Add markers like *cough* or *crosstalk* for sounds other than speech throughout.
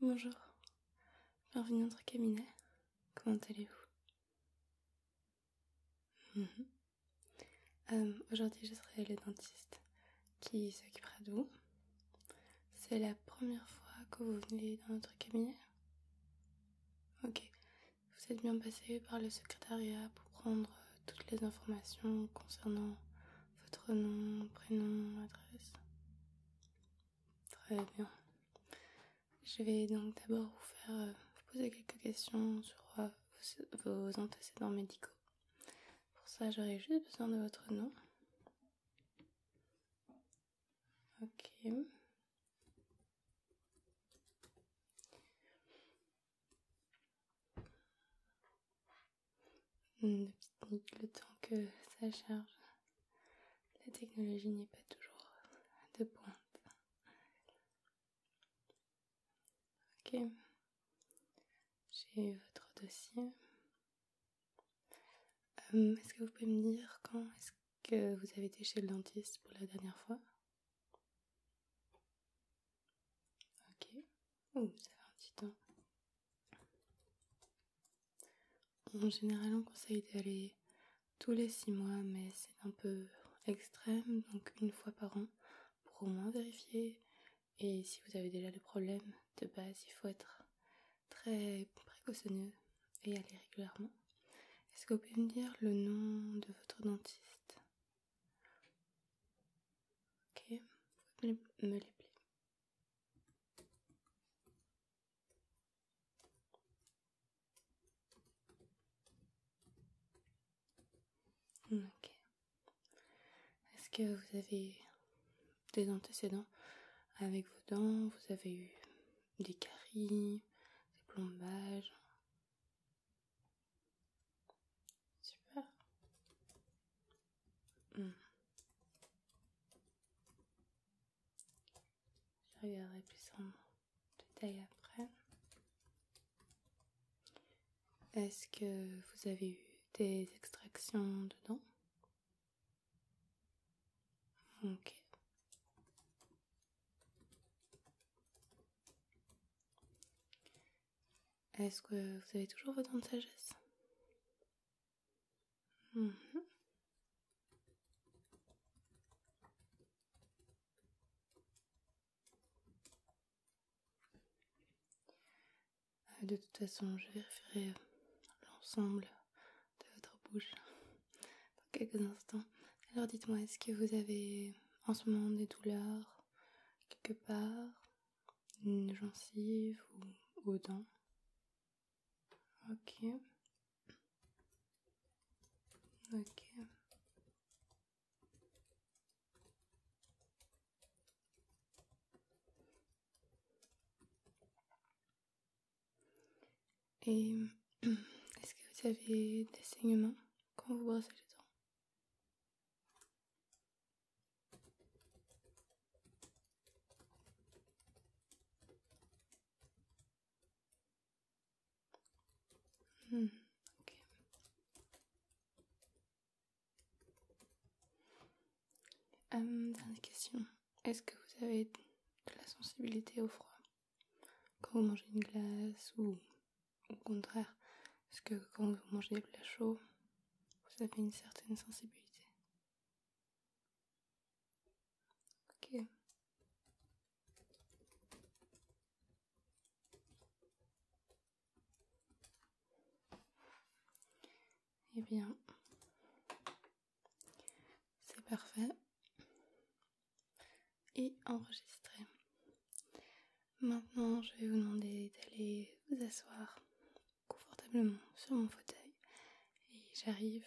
Bonjour, bienvenue dans notre cabinet. Comment allez-vous mhm. euh, Aujourd'hui, je serai le dentiste qui s'occupera de vous. C'est la première fois que vous venez dans notre cabinet Ok, vous êtes bien passé par le secrétariat pour prendre toutes les informations concernant votre nom, prénom, adresse. Très bien. Je vais donc d'abord vous faire euh, poser quelques questions sur euh, vos, vos antécédents médicaux. Pour ça, j'aurais juste besoin de votre nom. Ok le temps que ça charge. La technologie n'est pas toujours de pointe. Ok, j'ai votre dossier. Euh, est-ce que vous pouvez me dire quand est-ce que vous avez été chez le dentiste pour la dernière fois Ok, ça fait un petit temps. En général, on conseille d'aller tous les 6 mois, mais c'est un peu extrême, donc une fois par an pour au moins vérifier. Et si vous avez déjà des problème de base, il faut être très précautionneux et aller régulièrement. Est-ce que vous pouvez me dire le nom de votre dentiste Ok, vous pouvez me est-ce que vous avez des antécédents avec vos dents Vous avez eu des caries, des plombages Super. Hmm. Je regarderai plus en détail après. Est-ce que vous avez eu des extractions dedans Ok. Est-ce que vous avez toujours votre temps de sagesse mhm. euh, De toute façon, je vérifierai l'ensemble de votre bouche *laughs* dans quelques instants. Alors dites-moi, est-ce que vous avez en ce moment des douleurs quelque part une gencive ou aux dents. Ok. Ok. Et *clears throat* est-ce que vous avez des saignements quand vous brossez les dents Hmm, euh, dernière question. Est-ce que vous avez de la sensibilité au froid quand vous mangez une glace ou au contraire, parce que quand vous mangez des plats chauds, vous avez une certaine sensibilité. Ok. Et eh bien, c'est parfait. Et enregistré. Maintenant, je vais vous demander d'aller vous asseoir confortablement sur mon fauteuil et j'arrive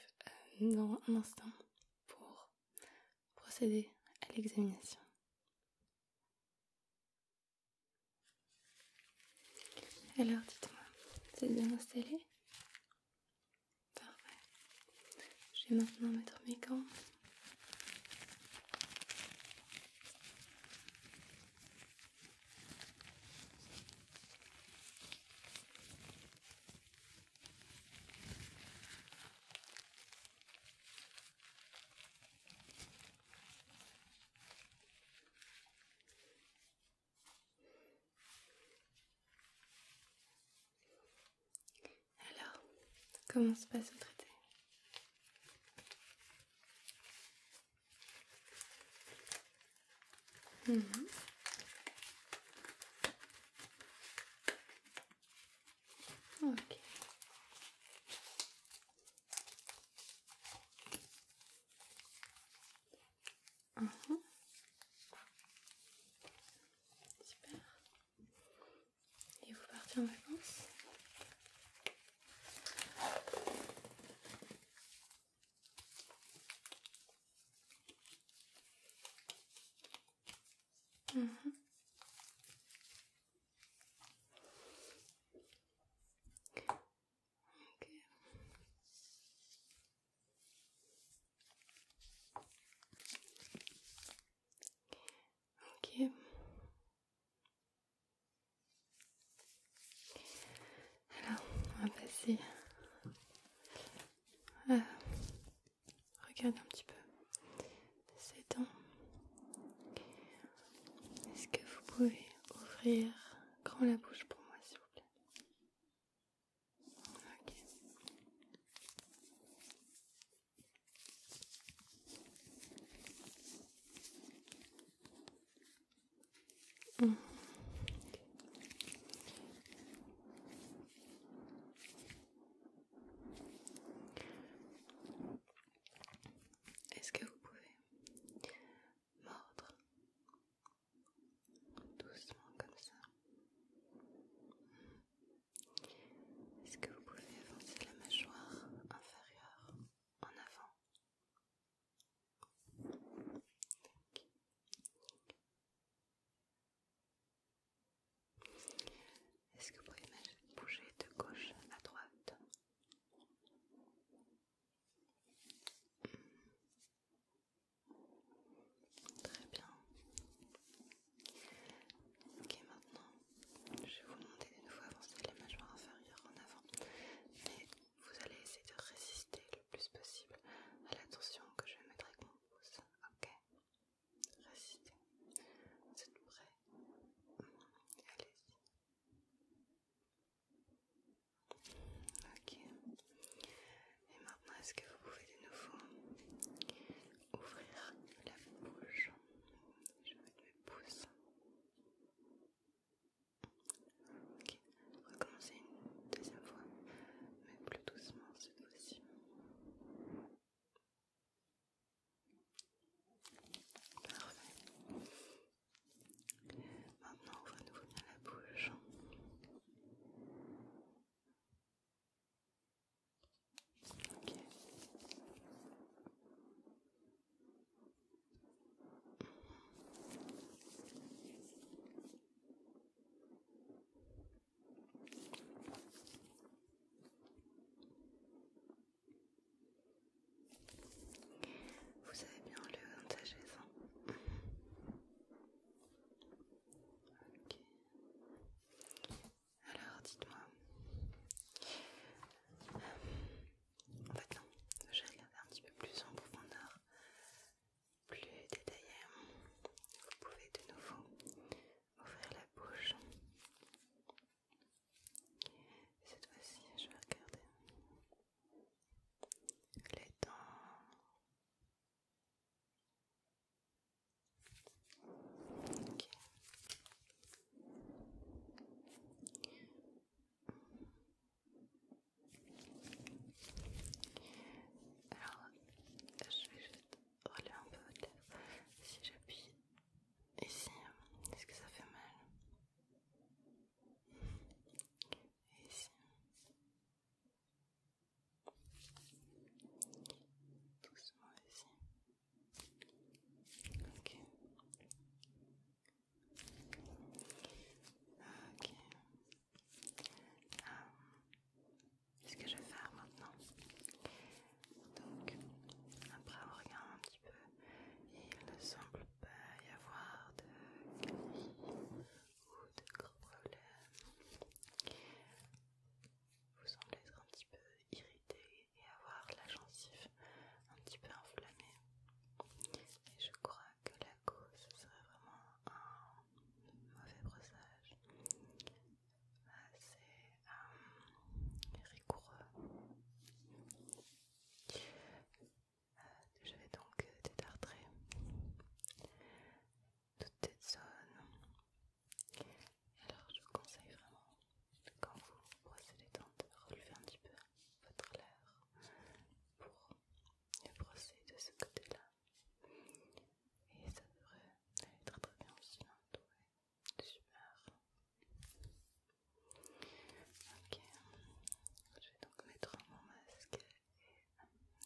euh, dans un instant pour procéder à l'examination. Alors dites-moi, c'est bien installé Parfait. Je vais maintenant mettre mes gants alors, comment se passe le traité? mm Ok. Super. Mhm et vous partez en vacances. Mhm. ok. Alors, on va passer à regarder un petit peu ces dents. Est-ce que vous pouvez ouvrir grand la bouche pour moi, s'il vous plaît Ok. Est-ce que vous pouvez mordre doucement comme ça est-ce que vous pouvez avancer la mâchoire inférieure en avant Est-ce que vous pouvez bouger de gauche à droite hmm. Très bien. Ok, maintenant, je vais vous demander de nouveau avancer les mâchoires inférieures en avant, mais vous allez essayer de résister le plus possible à la tension que je vais mettre avec mon pouce. Ok, résistez. Vous êtes prêts Allez-y. Ok. Et maintenant, est-ce que vous pouvez de nouveau ouvrir la bouche je vais mettre mes pouces. Ok, on va recommencer une deuxième fois, mais plus doucement cette fois-ci. Parfait. Maintenant, on va ouvrir nouveau la bouche. Ok. Vous avez bien le de sagesse, hein Ok. Alors, dites-moi. En fait, non, je vais regarder un petit peu plus en profondeur, plus détaillé. Vous pouvez de nouveau ouvrir la bouche. cette fois-ci, je vais regarder les dents. Alors, je vais juste relever un peu votre lèvre. Si j'appuie ici, euh, est-ce que ça fait mal Et ici. Doucement ici. Ok. Ok. quest euh, Ce que je vais faire maintenant. Donc, après on regarde un petit peu. Il ne semble pas y avoir de caries ou de gros problèmes vous semblez être un petit peu irrité et avoir la gencive un petit peu enflammée Et je crois que la cause serait vraiment un mauvais brossage assez bah, euh, rigoureux. Euh, je vais donc détartrer euh, toute cette zone alors je vous conseille vraiment, quand vous brossez les dents, de relever un petit peu votre lèvre pour les brosser de ce côté-là. Et ça devrait être très bien aussi, super. Ok, je vais donc mettre mon masque et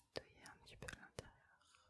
nettoyer un petit peu l'intérieur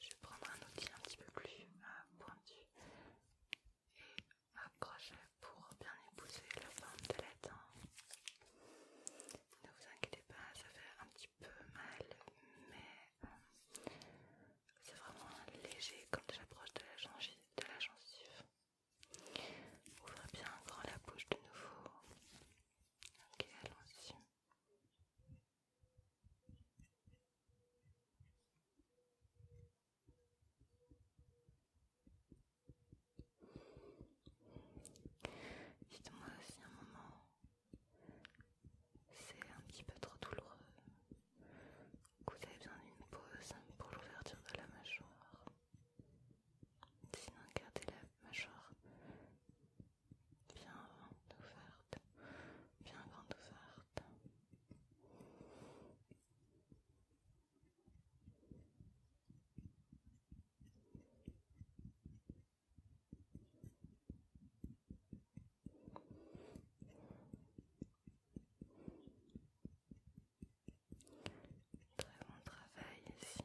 Je vais prendre un outil un petit peu plus euh, pointu et accrocher pour bien épouser la forme de la dent. Ne vous inquiétez pas, ça fait un petit peu mal, mais euh, c'est vraiment léger quand j'approche de la gencive. De Ouvrez bien encore la bouche de nouveau. Ok, allons-y. Dites-moi si un moment c'est un petit peu trop douloureux, Écoutez vous avez besoin d'une pause pour l'ouverture de la mâchoire. Sinon, gardez la mâchoire bien ouverte, bien grande ouverte. Très bon travail ici.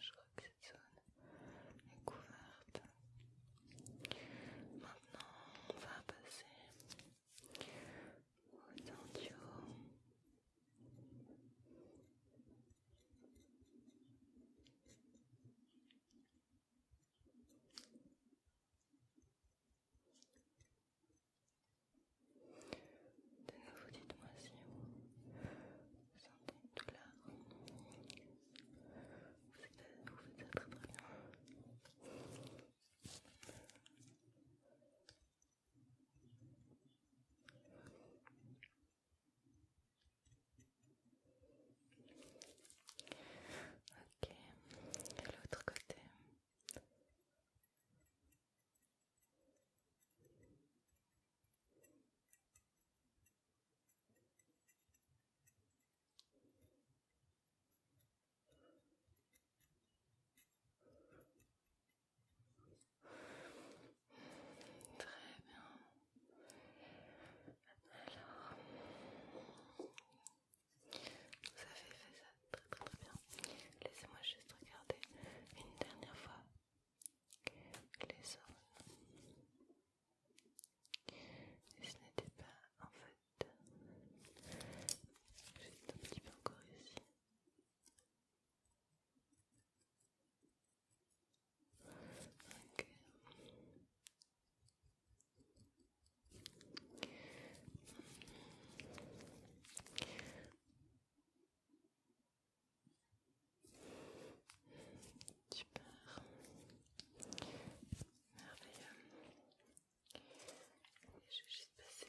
Je crois que cette zone est couverte. Maintenant, on va passer au tendu de nouveau, dites-moi si vous sentez une douleur. Vous faites ça très très bien. Ok, l'autre côté. Très bien. Alors, vous avez fait ça très très bien. Laissez-moi juste regarder une dernière fois les zones. Et ce n'était pas en fait. Juste un petit peu encore ici. Ok. Super. Merveilleux. je vais juste passer.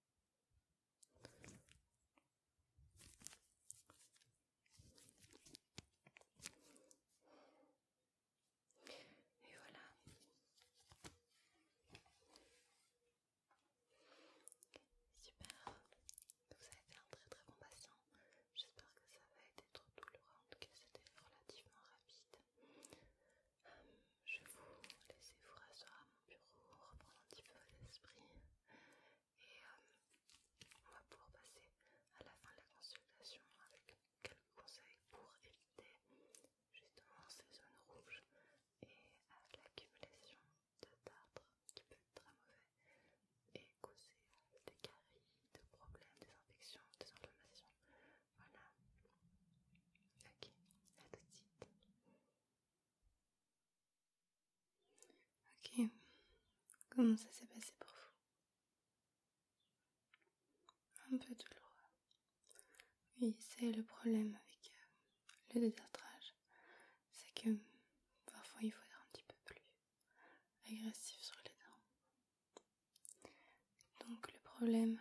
Et voilà. Super. vous avez fait un très très bon patient. J'espère que ça va être trop douloureux. En tout cas, c'était relativement rapide. Euh, je vous laisser vous rasseoir bureau, reprendre un petit peu l'esprit. Et euh, on va pouvoir passer à la fin de la consultation avec quelques conseils pour éviter justement ces zones rouges et l'accumulation de tartre qui peut être très mauvais et causer des caries, des problèmes, des infections, des inflammations. Voilà. Ok, à tout de suite. Ok. Comment ça s'est passé pour vous Un peu douloureux. Oui, c'est le problème avec euh, le désertrage. C'est que parfois il faut être un petit peu plus agressif sur les dents. Donc le problème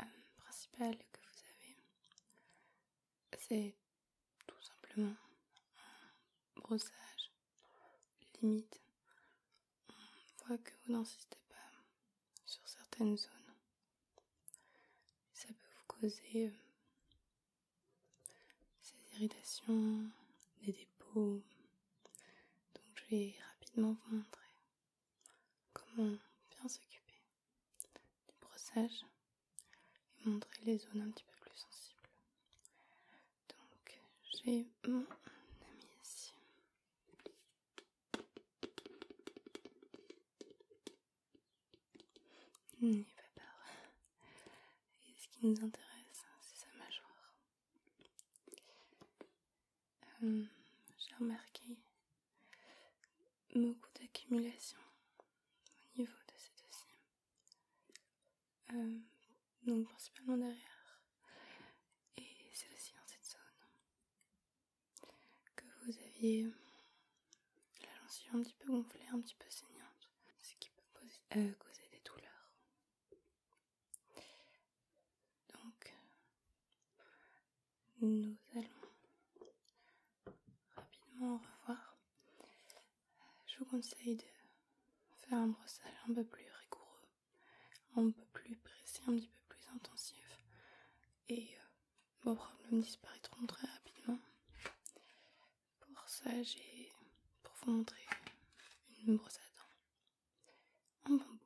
euh, principal que vous avez, c'est tout simplement un brossage limite. On voit que vous n'insistez pas sur certaines zones. Ça peut vous causer ces euh, irritations, des dépôts. Donc je vais rapidement vous montrer comment bien s'occuper du brossage et montrer les zones un petit peu plus sensibles. Donc j'ai mon ami ici. va pas Et ce qui nous intéresse, c'est sa mâchoire. Euh, j'ai remarqué beaucoup d'accumulation au niveau de cette deux euh, donc principalement derrière, et c'est aussi dans cette zone que vous aviez la lentille un petit peu gonflée, un petit peu saignante, ce qui peut euh, causer des douleurs. Donc, nous allons rapidement revoir. Je vous conseille de faire un brossage un peu plus rigoureux, un peu plus précis, un petit peu plus intensif. Et euh, vos problèmes disparaîtront très rapidement. Pour ça, j'ai pour vous montrer une brosse à dents en bambou.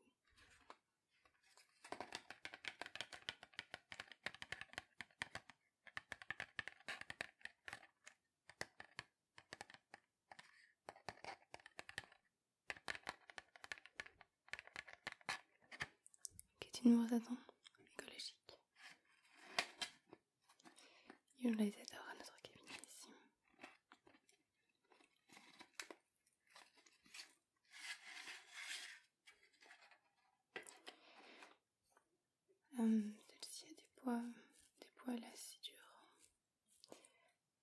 Qu'est-ce que tu nous vois d'attendre? Écologique. Il y les adorateurs à notre cabinet ici. Euh, celle-ci a des des poils assez durs,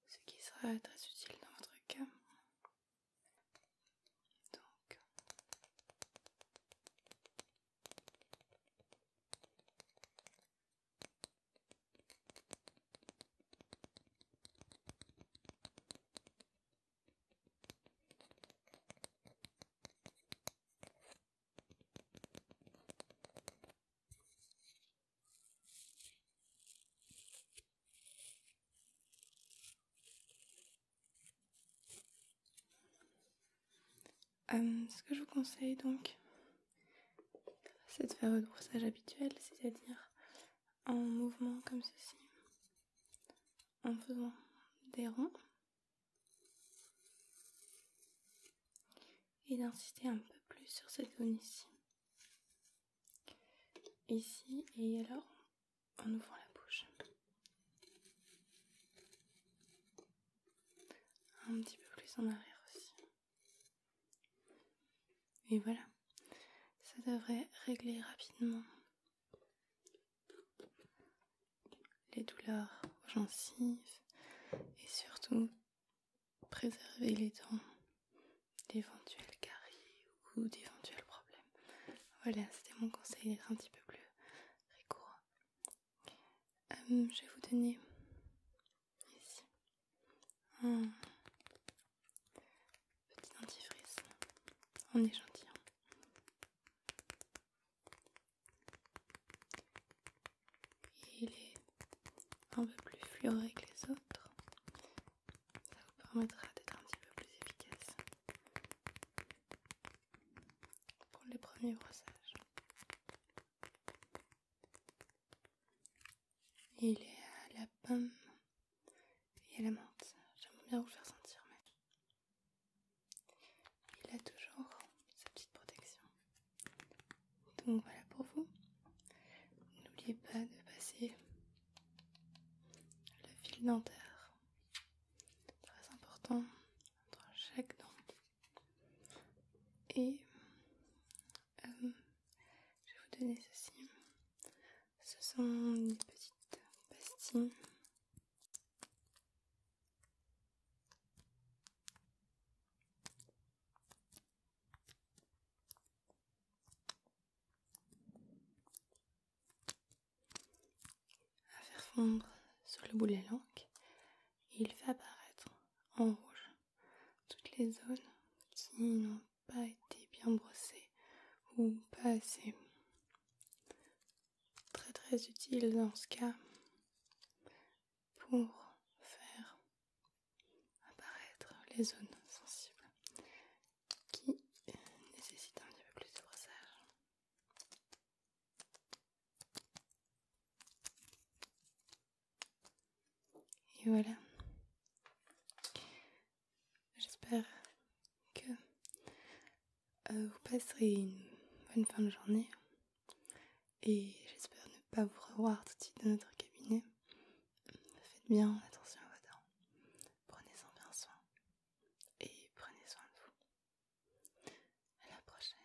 ce qui sera très utile dans votre cas. Donc, euh, ce que je vous conseille donc, c'est de faire le brossage habituel, c'est-à-dire en mouvement comme ceci en faisant des ronds et d'insister un peu plus sur cette zone ici. Ici et alors en ouvrant la bouche. Un petit peu plus en arrière aussi. Et voilà, ça devrait régler rapidement les douleurs aux gencives et surtout préserver les dents d'éventuels caries ou d'éventuels problèmes. Voilà, c'était mon conseil d'être un petit peu plus rigoureux. Euh, je vais vous donner ici Petit dentifrice en échantillon. gentil hein. il est un peu plus fluoré que les autres. Ça vous permettra d'être un petit peu plus efficace pour les premiers brossages. il est à la pomme et la menthe, j'aime bien vous faire sentir, mais il a toujours sa petite protection. Donc voilà pour vous. N'oubliez pas de passer le fil dentaire, très important, entre chaque dent. Et euh, je vais vous donner ceci ce sont des petites pastilles. à faire fondre sur le bout de la langue et il fait apparaître en rouge toutes les zones qui pas été bien brossé ou pas assez. Très très utile dans ce cas pour faire apparaître les zones sensibles qui nécessitent un petit peu plus de brossage. Et voilà. J'espère que euh, vous passerez une bonne fin de journée et j'espère ne pas vous revoir tout de suite dans notre cabinet. Faites bien attention à vos dents, prenez-en bien soin et prenez soin de vous. À la prochaine.